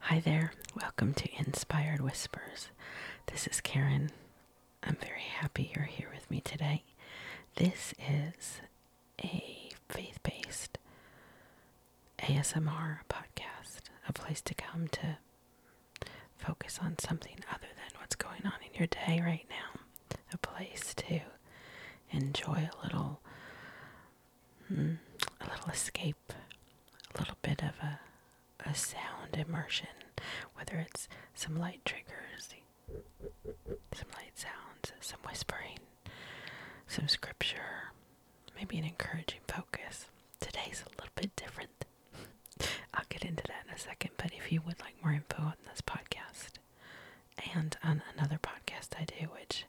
Hi there, welcome to Inspired Whispers. This is Karen. I'm very happy you're here with me today. This is a faith based ASMR podcast, a place to come to focus on something other than what's going on in your day right now a place to enjoy a little hmm, a little escape, a little bit of a a sound immersion, whether it's some light triggers, some light sounds, some whispering, some scripture, maybe an encouraging focus. Today's a little bit different. I'll get into that in a second, but if you would like more info on this podcast, and on another podcast I do, which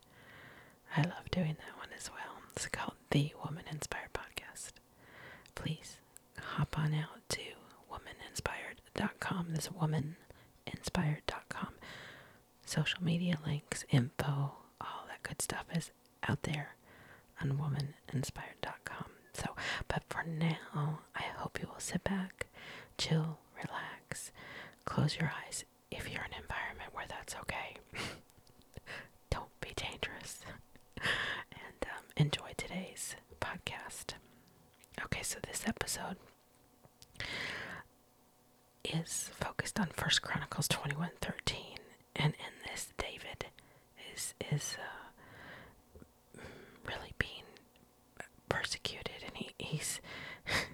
I love doing that one as well. It's called The Woman Inspired Podcast. Please hop on out to womaninspired.com. This womaninspired.com. Social media links, info, all that good stuff is out there on womaninspired.com. So, but for now, I hope you will sit back, chill, relax, close your eyes if you're in an environment where that's okay. Don't be dangerous. and um, enjoy today's podcast. Okay, so this episode is focused on First Chronicles 21 13. And in this, David is, is uh, really being persecuted and he, he's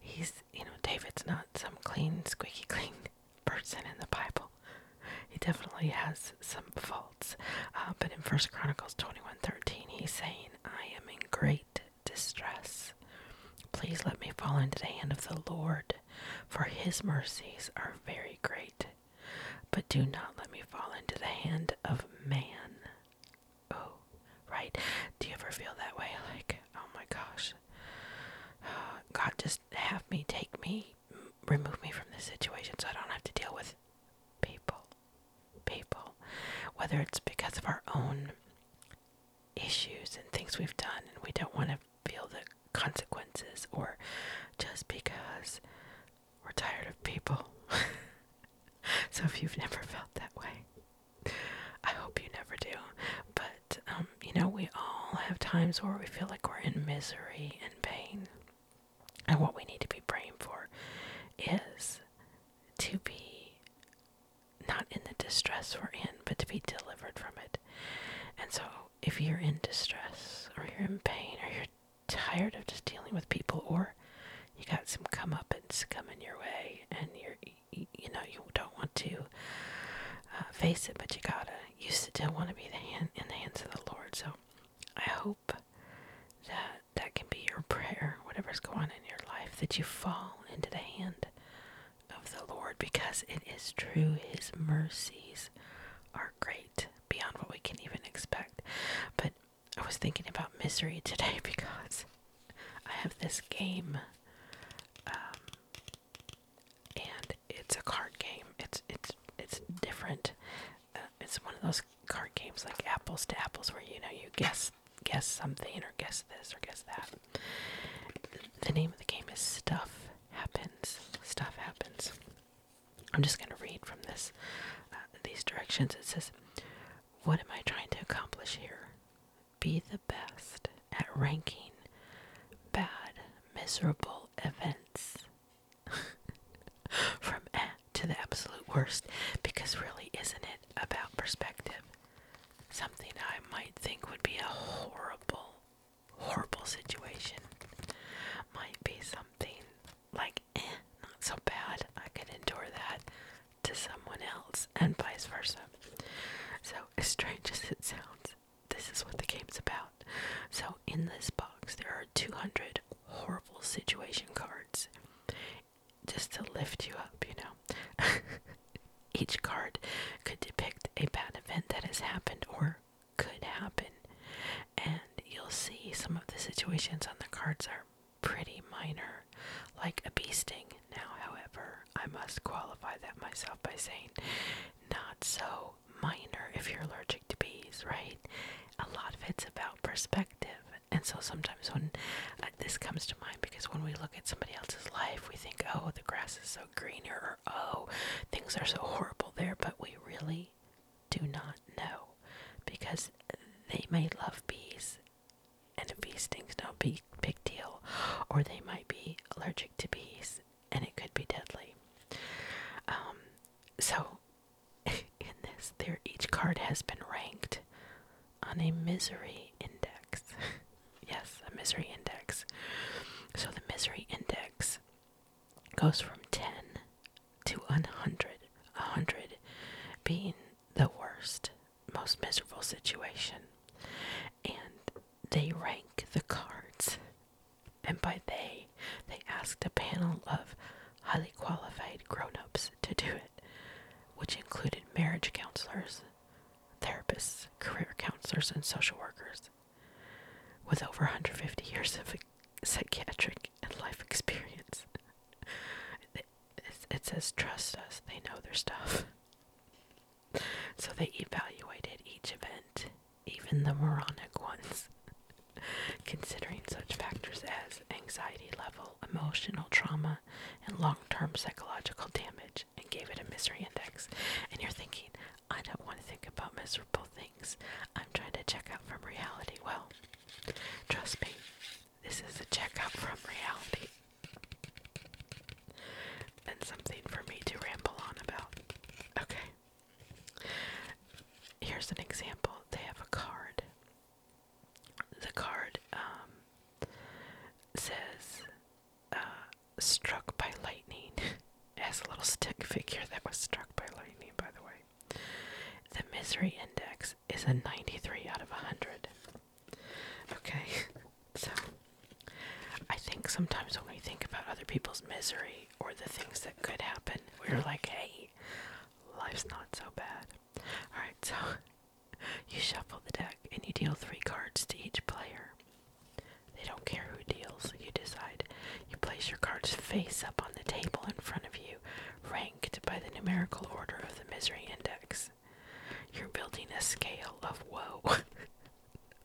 he's you know david's not some clean squeaky clean person in the bible he definitely has some faults uh, but in first chronicles 21 13 he's saying i am in great distress please let me fall into the hand of the lord for his mercies are very great but do not let me fall into the hand of man oh, right? Do you ever feel that way? Like, oh my gosh, God, just have me, take me, remove me from this situation so I don't have to deal with people. People. Whether it's because of our own issues and things we've done and we don't want to feel the consequences or just because we're tired of people. so if you've never felt that way, I hope you never do. But, um, you know, we all have times where we feel like we're in misery and pain. And what we need to be praying for is to be not in the distress we're in, but to be delivered from it. And so, if you're in distress, or you're in pain, or you're tired of just dealing with people, or you got some comeuppance coming your way, and you're you know you don't want to uh, face it, but you gotta. You still want to be the hand, in the hands of the Lord. So I hope that that can be your prayer, whatever's going on in your life, that you fall into the hand of the Lord, because it is true. His mercies are great beyond what we can even expect. But I was thinking about misery today because I have this game, um, and it's a card game. It's it's it's different. Uh, it's one of those card games like apples to apples, where you know you guess guess something or guess this or guess that. The name of the game is Stuff Happens. Stuff happens. I'm just going to read from this uh, these directions. It says what am I trying to accomplish here? Be the best at ranking bad, miserable events from eh to the absolute worst, because really, isn't it about perspective? Something I might think would be a horrible, horrible situation might be something like, eh, not so bad. I could endure that to someone else, and vice versa. So, as strange as it sounds, this is what the game's about. So, in this box, there are 200 horrible situation cards just to lift you up, you know. Each card could depict a bad event that has happened or could happen, and you'll see some of the situations on the cards are pretty minor, like a bee sting. Now, however, I must qualify that myself by saying not so minor if you're allergic to bees, right? A lot of it's about perspective. And so sometimes when uh, this comes to mind, because when we look at somebody else's life, we think, oh, the grass is so greener, or oh, things are so horrible there, but we really do not know because they may love bees and bees stings no big deal, or they might be allergic to bees, and it could be deadly. Um, so, in this, there each card has been ranked on a misery index. yes, a misery index. So the misery index goes from 10 to 100, 100 being the worst, most miserable situation. And they rank the cards. And by they, they asked a panel of highly qualified grown ups to do it, which included marriage counselors, therapists, career counselors, and social workers. With over 150 years of psychiatric and life experience, it says trust us, they know their stuff. So they evaluated each event, even the moronic ones, considering such factors as anxiety level, emotional trauma, and long term psychological damage, and gave it a misery index. And you're thinking, I don't want to think about miserable things. I'm trying to check out from reality. Well, trust me, this is a checkup from reality. And something for me to ramble on about. Okay. Here's an example. They have a card. The card um, says uh, struck by lightning. it has a little stick figure that was struck by lightning, by the way. The misery index is a 93 out of 100. Okay, so I think sometimes when we think about other people's misery or the things that could happen, we're like, hey, life's not so bad. Alright, so you shuffle the deck and you deal three cards to each player. They don't care who deals, you decide. You place your cards face up on the table in front of you ranked by the numerical order of the misery index. You're building a scale of woe.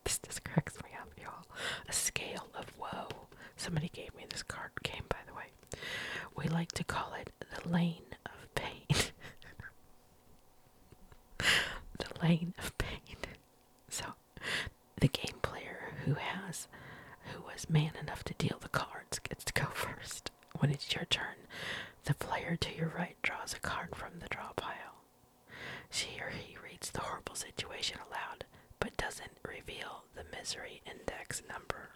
this cracks me up, y'all. A scale of woe. Somebody gave me this card game, by the way. We like to call it the lane of pain. the lane of pain. So, the game player who has, who was man enough to deal the cards, gets to go first. When it's your turn, the player to your right draws a card from the draw pile. She or he reads the horrible situation aloud, but doesn't reveal the misery index number.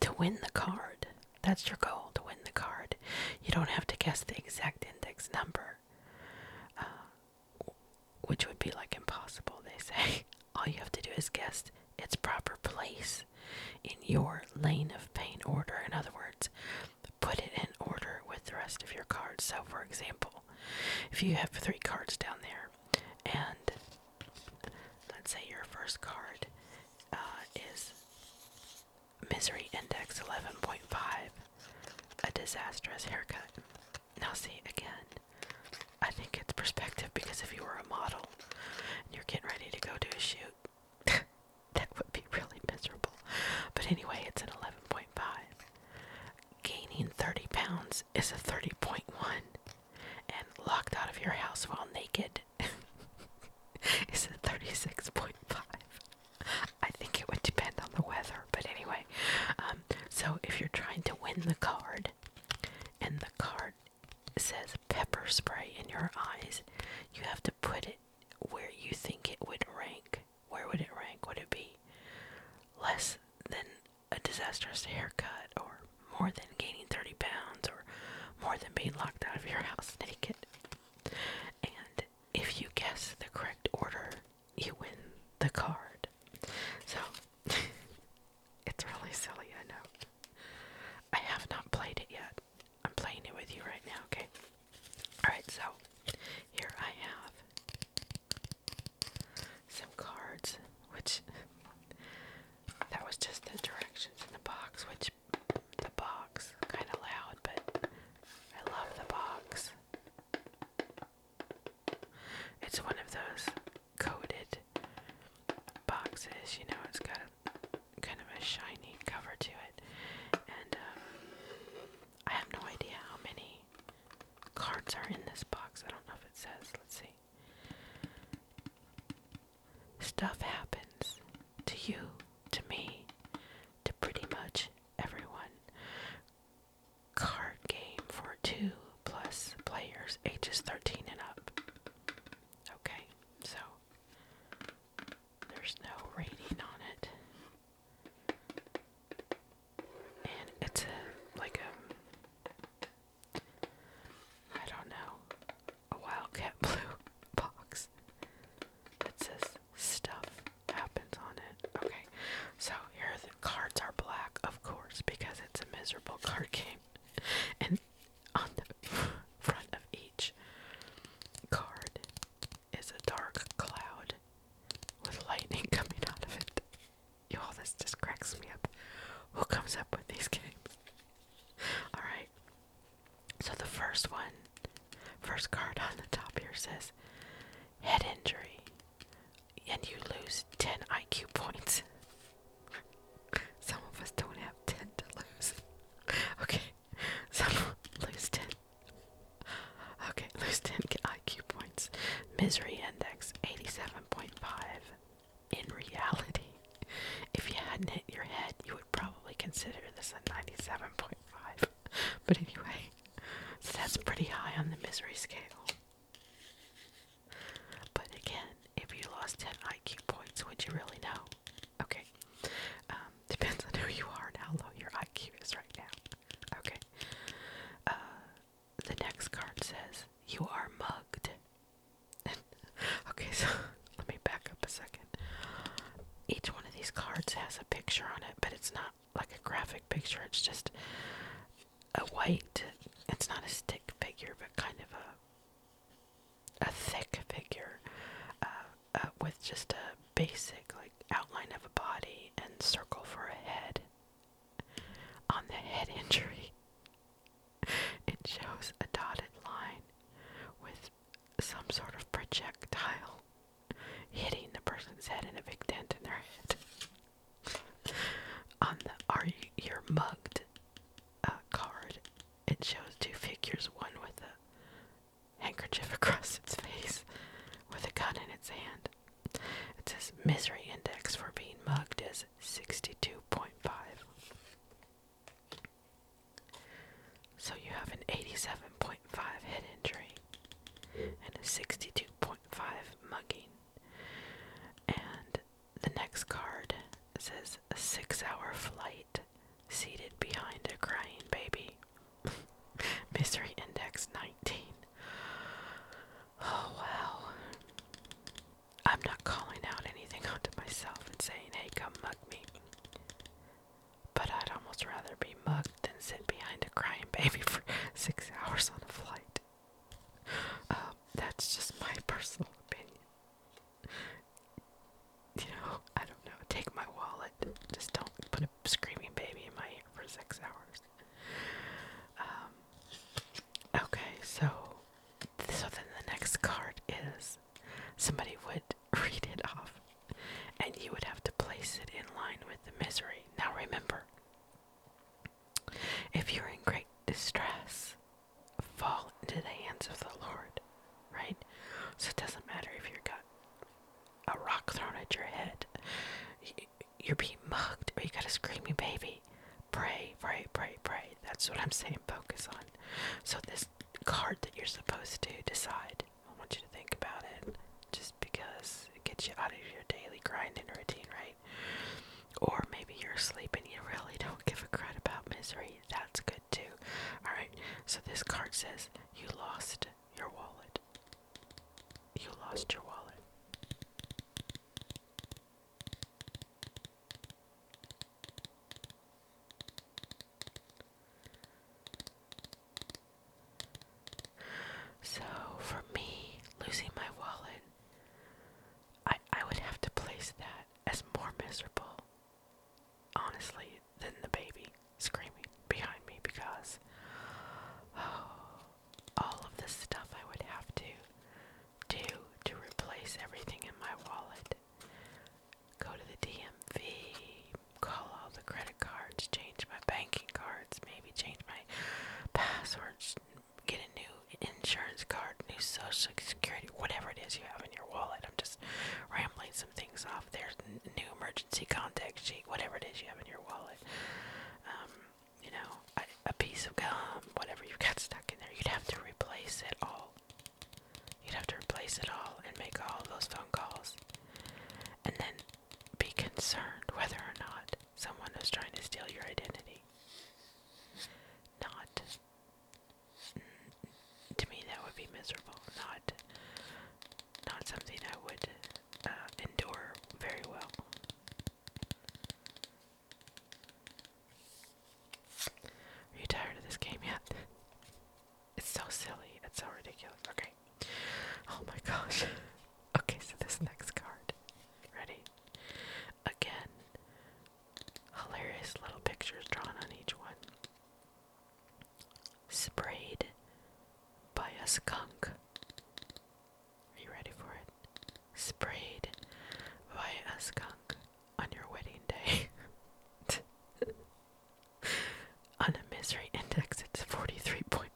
To win the card, that's your goal to win the card. You don't have to guess the exact index number, uh, which would be like impossible, they say. all you have to do is guess its proper place in your lane of pain order. In other words, put it in order with the rest of your cards. So, for example, if you have three cards down there, and let's say your first card uh, is Misery Index 11.5, a disastrous haircut. Now, see again, I think it's perspective because if you were a model and you're getting ready to go do a shoot, that would be really miserable. But anyway, it's an 11.5. Gaining 30 pounds is a 30.1, and locked out of your house while naked is a 36.5. I think it would depend on the weather, but anyway. Um, so if you're trying to win the card, and the card it says pepper spray in your eyes, you have to put it where you think it would rank. Where would it rank? Would it be less than a disastrous haircut, or more than gaining 30 pounds, or more than being locked out of your house naked? And if you guess the correct order, you win the card. So it's really silly, I know. I have not played it yet. I'm playing it with you right now, okay? Alright, so here I have some cards, which that was just the directions in the box, which the box kind of loud, but I love the box. It's one of those coated boxes. You know, it's got a, kind of a shiny cover to it. And um, I have no idea how many cards are in this box. I don't know if it says. Let's see. Stuff happens to you, to me, to pretty much everyone. Card game for two plus players ages 13 and up. Okay, so there's no rating on it. And it's a like a um, I don't know, a wildcat blue box that says stuff happens on it. Okay. So here the cards are black, of course, because it's a miserable card game. And on the front of each card is a dark cloud with lightning coming out of it. you this just cracks me up. Who comes up with these games? Alright. So the first one, first card on the top here says head injury, and you lose 10 IQ points. Some of us don't have 10 to lose. Okay, some lose 10. Okay, lose 10 IQ points. Misery index 87.5. In reality, if you hadn't hit your head, you would probably consider this a 97.5. But anyway, that's pretty high on the misery scale. But again, if you lost 10 IQ points, would you really know? Okay. Um, depends on who you are and how low your IQ is right now. Okay. Uh, the next card says, You are mugged. okay, so let me back up a second. Each one of these cards has a picture on it, but it's not like a graphic picture, it's just a white, it's not a stick figure, but kind of a a thick figure uh, uh, with just a basic like outline of a body and circle for a head on the head injury it shows a dotted line with some sort of projectile hitting the person's head in a big dent in their head on the are you you're mugged uh, card. It shows two figures, one with a handkerchief across its face, with a gun in its hand. It says misery index for being mugged is 62.5. So you have an 87.5 head injury and a 62.5 mugging. And the next card says six hour flight seated behind a crying baby. Mystery Index 19. Oh, wow. I'm not calling out anything onto myself and saying, hey, come mug me. But I'd almost rather be mugged than sit behind a crying baby for six hours on a flight. Um, that's just my personal opinion you know, I don't know, take my wallet. Just don't put a screaming baby in my ear for six hours. Um, okay, so so then the next card is somebody would read it off and you would have to place it in line with the misery. Now remember, if you're in great distress, fall into the hands of the Lord, right? So it doesn't matter if you got a rock thrown at your head, you're being mugged, or you got a screaming baby. Pray, pray, pray, pray. That's what I'm saying. Focus on. So this card that you're supposed to decide. I want you to think about it, just because it gets you out of your daily grinding routine, right? Or maybe you're sleeping. you really don't give a crud about misery. That's good too. Alright, so this card says you lost your wallet. You lost your wallet. So, for me, losing my wallet I, I would have to place that as more miserable, honestly, than the baby screaming behind me because oh, all of the stuff I would have to do to replace everything in my wallet go to the DMV, call all the credit cards, change my banking cards, maybe change my passwords, get a new insurance card, new social security, whatever it is you have in your wallet. I'm just rambling some things off. There's new emergency contact sheet, whatever it is you have in your wallet. Um, you know, a, a piece of gum, whatever you've got stuck in there, you'd have to replace it all. You'd have to replace it all and make all those phone calls. And then be concerned whether or not someone was trying to steal your identity. Not to me that would be miserable, not not something I would uh, endure very well. Are you tired of this game yet? It's so silly. It's so ridiculous. Okay. Oh my gosh. Okay, so this next card. Ready? Again, Hilarious little pictures drawn on each one. Sprayed by a skunk. Are you ready for it? Sprayed by a skunk on your wedding day. on a misery index, it's 43.1.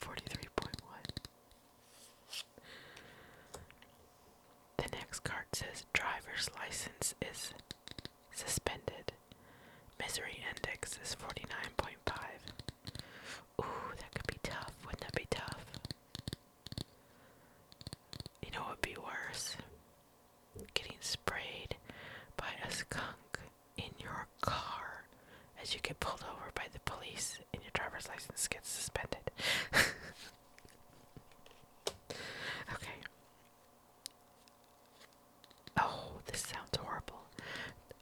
43.1. The next card says driver's license is suspended. Misery index is 49.5. Ooh, that could be tough. Wouldn't that be tough? You know what would be worse? Getting sprayed by a skunk in your car as you get pulled over by the police and your driver's license gets suspended. Okay. Oh, this sounds horrible.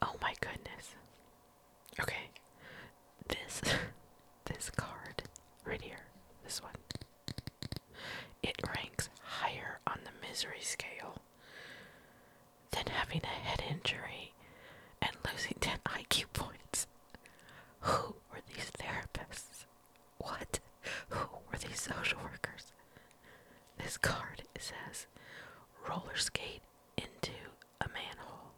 Oh my goodness. Okay. This this card right here. This one. It ranks higher on the misery scale than having a head injury and losing 10 IQ points. Who were these therapists? What? Who were these social workers? This card says roller skate into a manhole.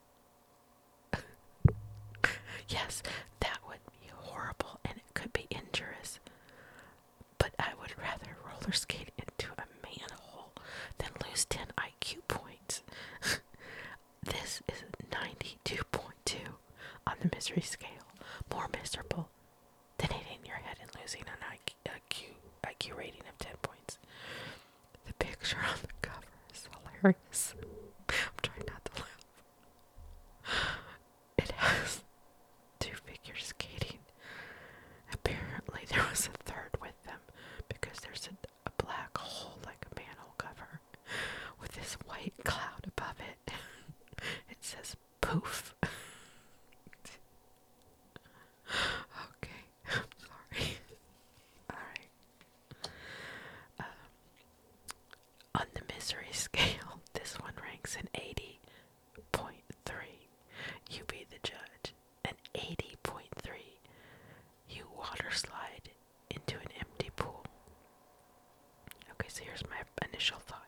yes, that would be horrible and it could be injurious. But I would rather roller skate into a manhole than lose 10 IQ points. This is 92.2 on the misery scale. More miserable than hitting your head and losing an IQ, rating of 10 points. The picture on the cover is hilarious. I'm trying not to laugh. It has two figures skating. Apparently, there was a third with them because there's a a black hole like a manhole cover with this white cloud above it. it says poof. okay, I'm sorry. Alright. Um, on the misery scale, this one ranks an 80.3. You be the judge. An 80.3. You water slide into an empty pool. Okay, so here's my initial thought.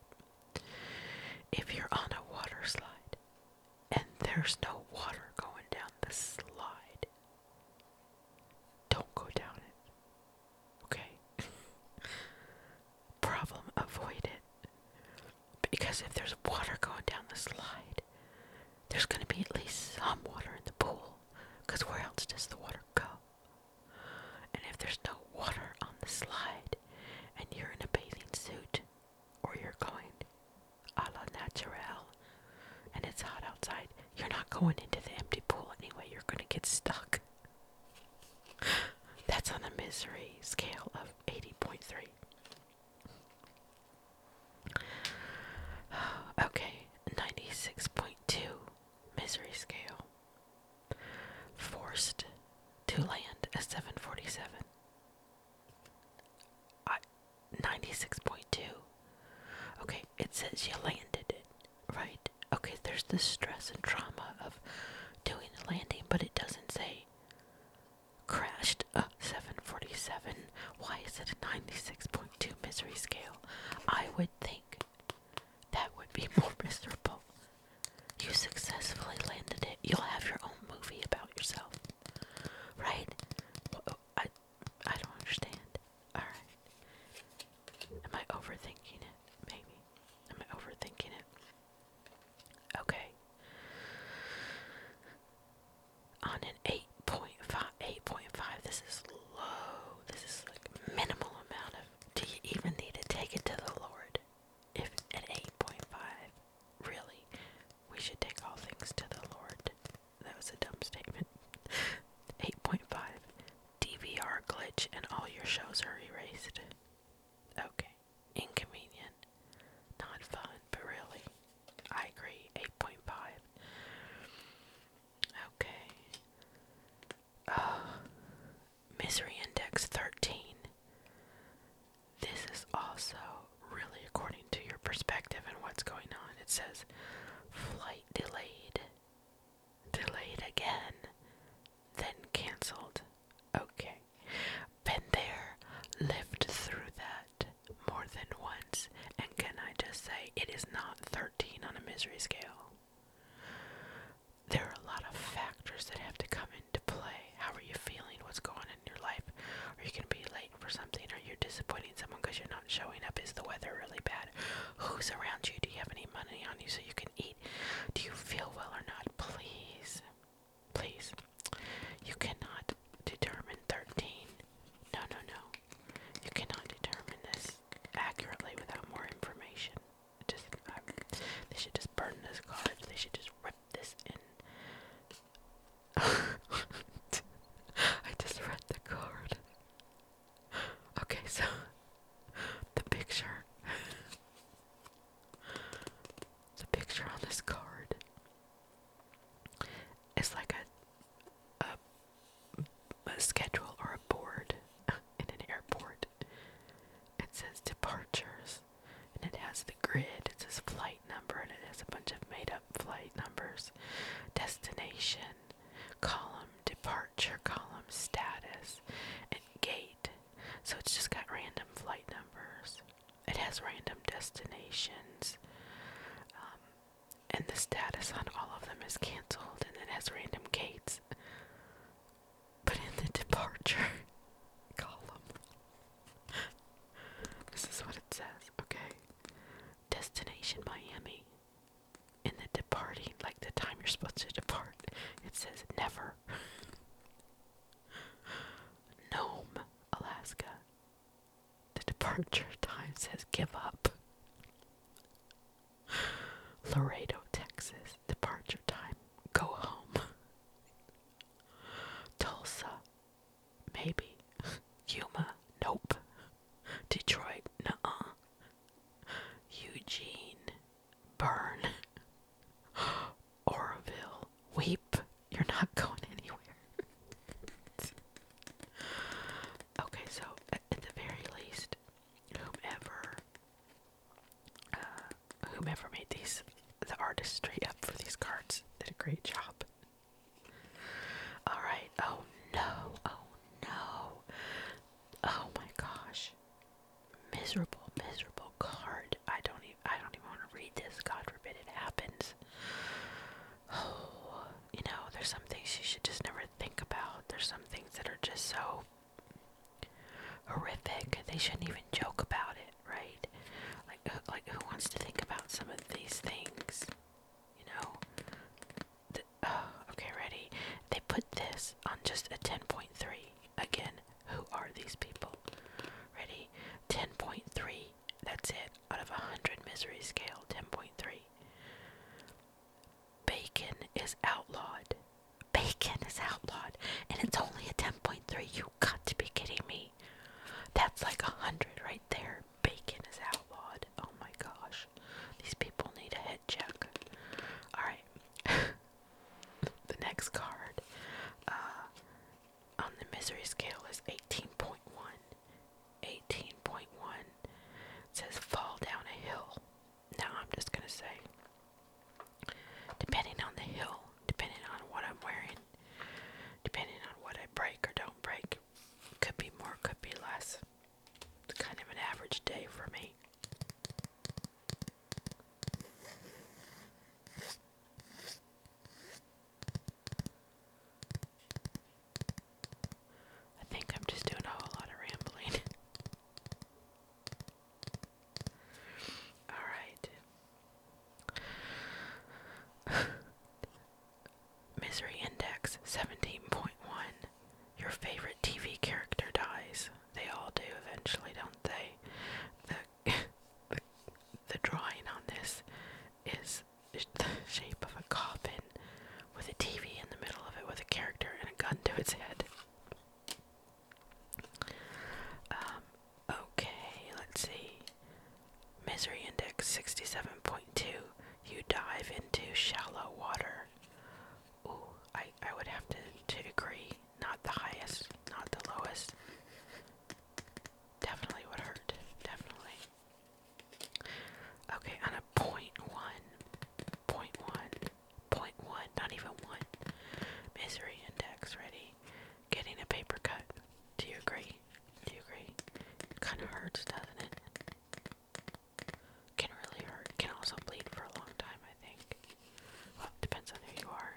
If you're on a water slide and there's no water going down the slide, don't go down it. Okay? Problem, avoid Because if there's water going down the slide, there's going to be at least some water in the pool because where else does the water go? And if there's no water on the slide and you're in a bathing suit or you're going a la naturelle and it's hot outside, you're not going into the empty pool anyway, you're going to get stuck. That's on the misery scale of 80.3. Okay, 96.2 misery scale, forced to land a 747. I 96.2. Okay, it says you landed right? Okay, there's the stress and trauma of doing the landing, but it doesn't say crashed a uh, 747. Why is it 96.2 misery scale? I would think that would be more miserable. You successfully landed it. You'll have your own movie about yourself. Right? I, I don't understand. Alright. Am I overthinking it? Maybe. Am I overthinking it? Okay. On an eight 8.5, this is low. This is like minimal amount of, do you even need to take it to the Lord? If at 8.5, really, we should take all things to the Lord. That was a dumb statement. 8.5, DVR glitch and all your shows are erased. Okay, inconvenient, not fun, but really, I agree, 8.5. Okay. Uh, misery index 13. This is also really according to your perspective and what's going on. It says flight delayed, delayed again, then canceled. Okay. Been there, lived through that more than once and can I just say it is not 13 on a misery scale? There are a lot of factors that have to come into play. How are you feeling? What's going on in your life? Are you going to be late for something? Are you disappointing someone because you're not showing up? Is the weather really bad? Who's around you? Do you have any money on you so you can eat? Do you feel well or not? Please, please, you cannot determine 13. No, no, no. You cannot determine this accurately without more information. just they should just burn this card. They should just rip this in. I just read the card. Okay, so the picture. the picture on this card it's like a a, schedule or a board in an airport. It says departures and it has the grid, it says flight number, and it has a bunch of made up flight numbers, destination column, departure column, status, and gate. So it's just got random flight numbers. It has random destinations. Um, and the status on all of them is cancelled and it has random gates. But in the departure column, this is what it says, okay? Destination Miami. In the departing, like the time you're supposed to depart, it says never. Nome, Alaska. The departure time says give up. Laredo, Texas, departure time, go home. Tulsa, maybe. Yuma, nope. Detroit, uh Eugene, burn. Oroville, weep. You're not going anywhere. Okay, so at, the very least, whomever uh, whomever made these the artistry up for these cards did a great job. All right. Oh no. Oh no. Oh my gosh. Miserable, miserable card. I don't even I don't even want to read this. God forbid it happens. Oh you know, there's some things you should just never think about. There's some things that are just so horrific. They shouldn't even joke about it, right? Like, who, like who wants to think about some of these things? You know. okay, ready. They put this on just a 10.3. Again, who are these people? Ready? 10.3. That's it. Out of a 100 misery scale, 10.3 bacon is outlawed. Bacon is outlawed, and it's only a 10.3. You got to be kidding me. That's like a hundred right there. Bacon is outlawed. Oh my gosh, these people need a head check. All right, the next card uh, on the misery scale is 18.1. 18.1 says fall down a hill. Now I'm just going to say, depending on the hill, depending on what I'm wearing, depending on what I break or don't break, could be more, could be less. It's kind of an average day for me. I think I'm just doing a whole lot of rambling. Alright. Misery Index 17.1. Your favorite TV character dies. They all do eventually, don't they? The, the, the drawing on this is the shape of a coffin with a TV in the middle of it with a character and a gun to its head. Um, okay, let's see. Misery index 67.2. You dive into shallow water. Ooh, I, I would have to, to agree. Not the highest, not the lowest. Definitely would hurt. Definitely. Okay, on a point one, point one, point one, not even one. Misery index ready. Getting a paper cut. Do you agree? Do you agree? Kinda hurts, doesn't it? Can really hurt. Can also bleed for a long time, I think. Well, depends on who you are.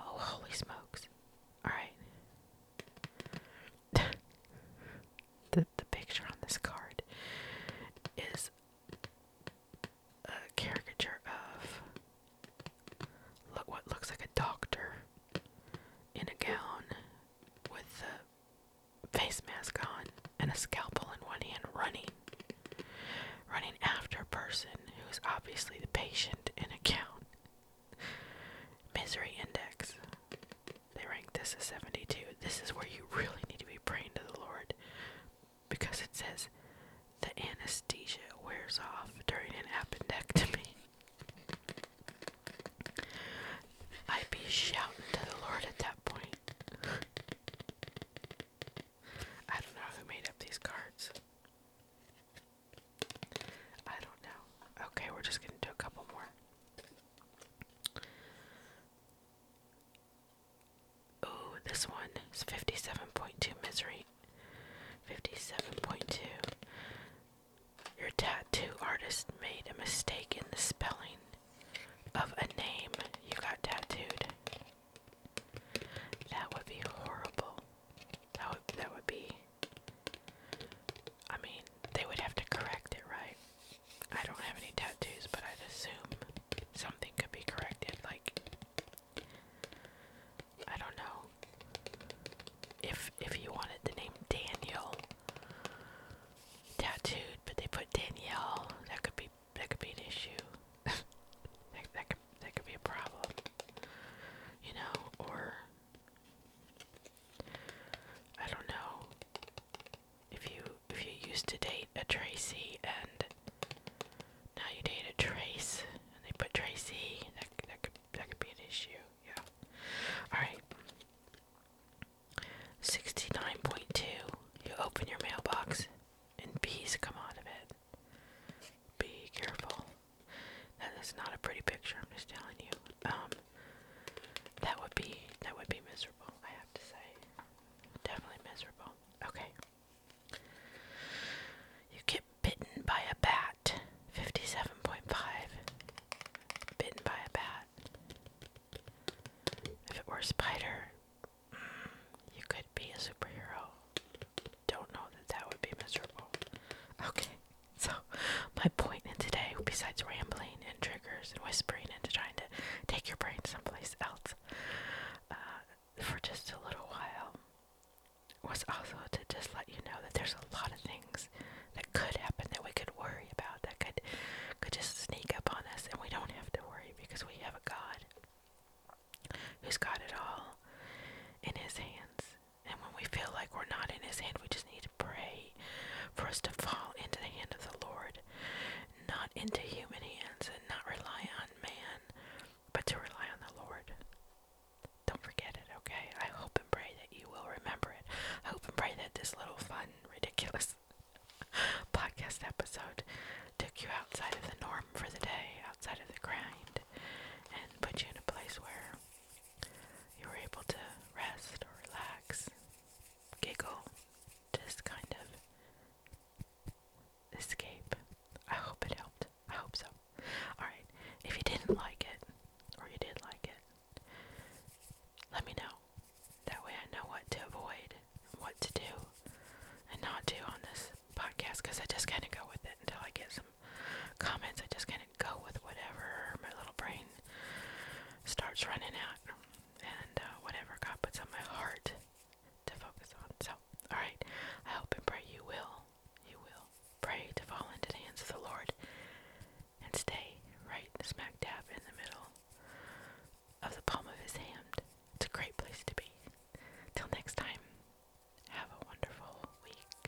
Oh, holy smokes. Alright. the the picture on this card is a caricature of look what looks like a doctor in a gown with a face mask on and a scalpel in one hand running running after a person who's obviously the patient in a gown misery index they ranked this as 72. This is where you really need to be praying to the Lord because it says the anesthesia wears off during an appendectomy. I'd be shouting to the Lord at that point. I don't know who made up these cards. I don't know. Okay, we're just gonna do a couple more. Ooh, this one is 57.2 misery. 57.2. Your tattoo artist made a mistake in the spelling of a name you got tattooed. That would be horrible. That would, that would be. I mean, they would have to correct it, right? I don't have any tattoos, but I'd assume something could be corrected. Like, I don't know. If if you wanted the name Daniel tattooed, but they put Danielle, that could be that could be an issue. that that could that could be a problem. You know, or I don't know if you if you used to date a Tracy and now you date a Trace and they put Tracy, that could that could be an issue. Yeah. All right. Sixty nine point two. You open your mailbox and bees come out of it. Be careful. That is not a pretty picture. I'm just telling you. Um, that would be that would be miserable. Definitely miserable. Okay. You get bitten by a bat. 57.5. Bitten by a bat. If it were spider, mm, you could be a superhero. Don't know that that would be miserable. Okay, so my point in today, besides rambling and triggers and whispering and trying to take your brain someplace else uh, for just a little while was also to just let you know that there's a lot of things that could happen that we could worry about that could could just sneak up on us and we don't have to worry because we have a God who's got it all in his hands. And when we feel like we're not in his hand, we just need to pray for us to fall into the hand of the Lord not into human hands and not rely on man, but to rely on the Lord. Don't forget it, okay? I hope and pray that you will remember it. I hope and pray that this little fun, ridiculous podcast episode took you outside of the norm for the day, outside of the grind, and put you in a place where you were able to rest or relax, giggle, just kind of escape. I hope it helped. I hope so. Alright, if you didn't like it, or you did like it, let me know. That way I know what to avoid, what to do, and not do on this podcast, because I just kind of go with it until I get some comments. I just kind of go with whatever my little brain starts running out and uh, whatever God puts on my heart to focus on. So, all right, I hope and pray you will, you will pray to fall into the hands of the Lord and stay right smack dab in the middle of the palm of His hand. It's a great place to be. Till next time, have a wonderful week.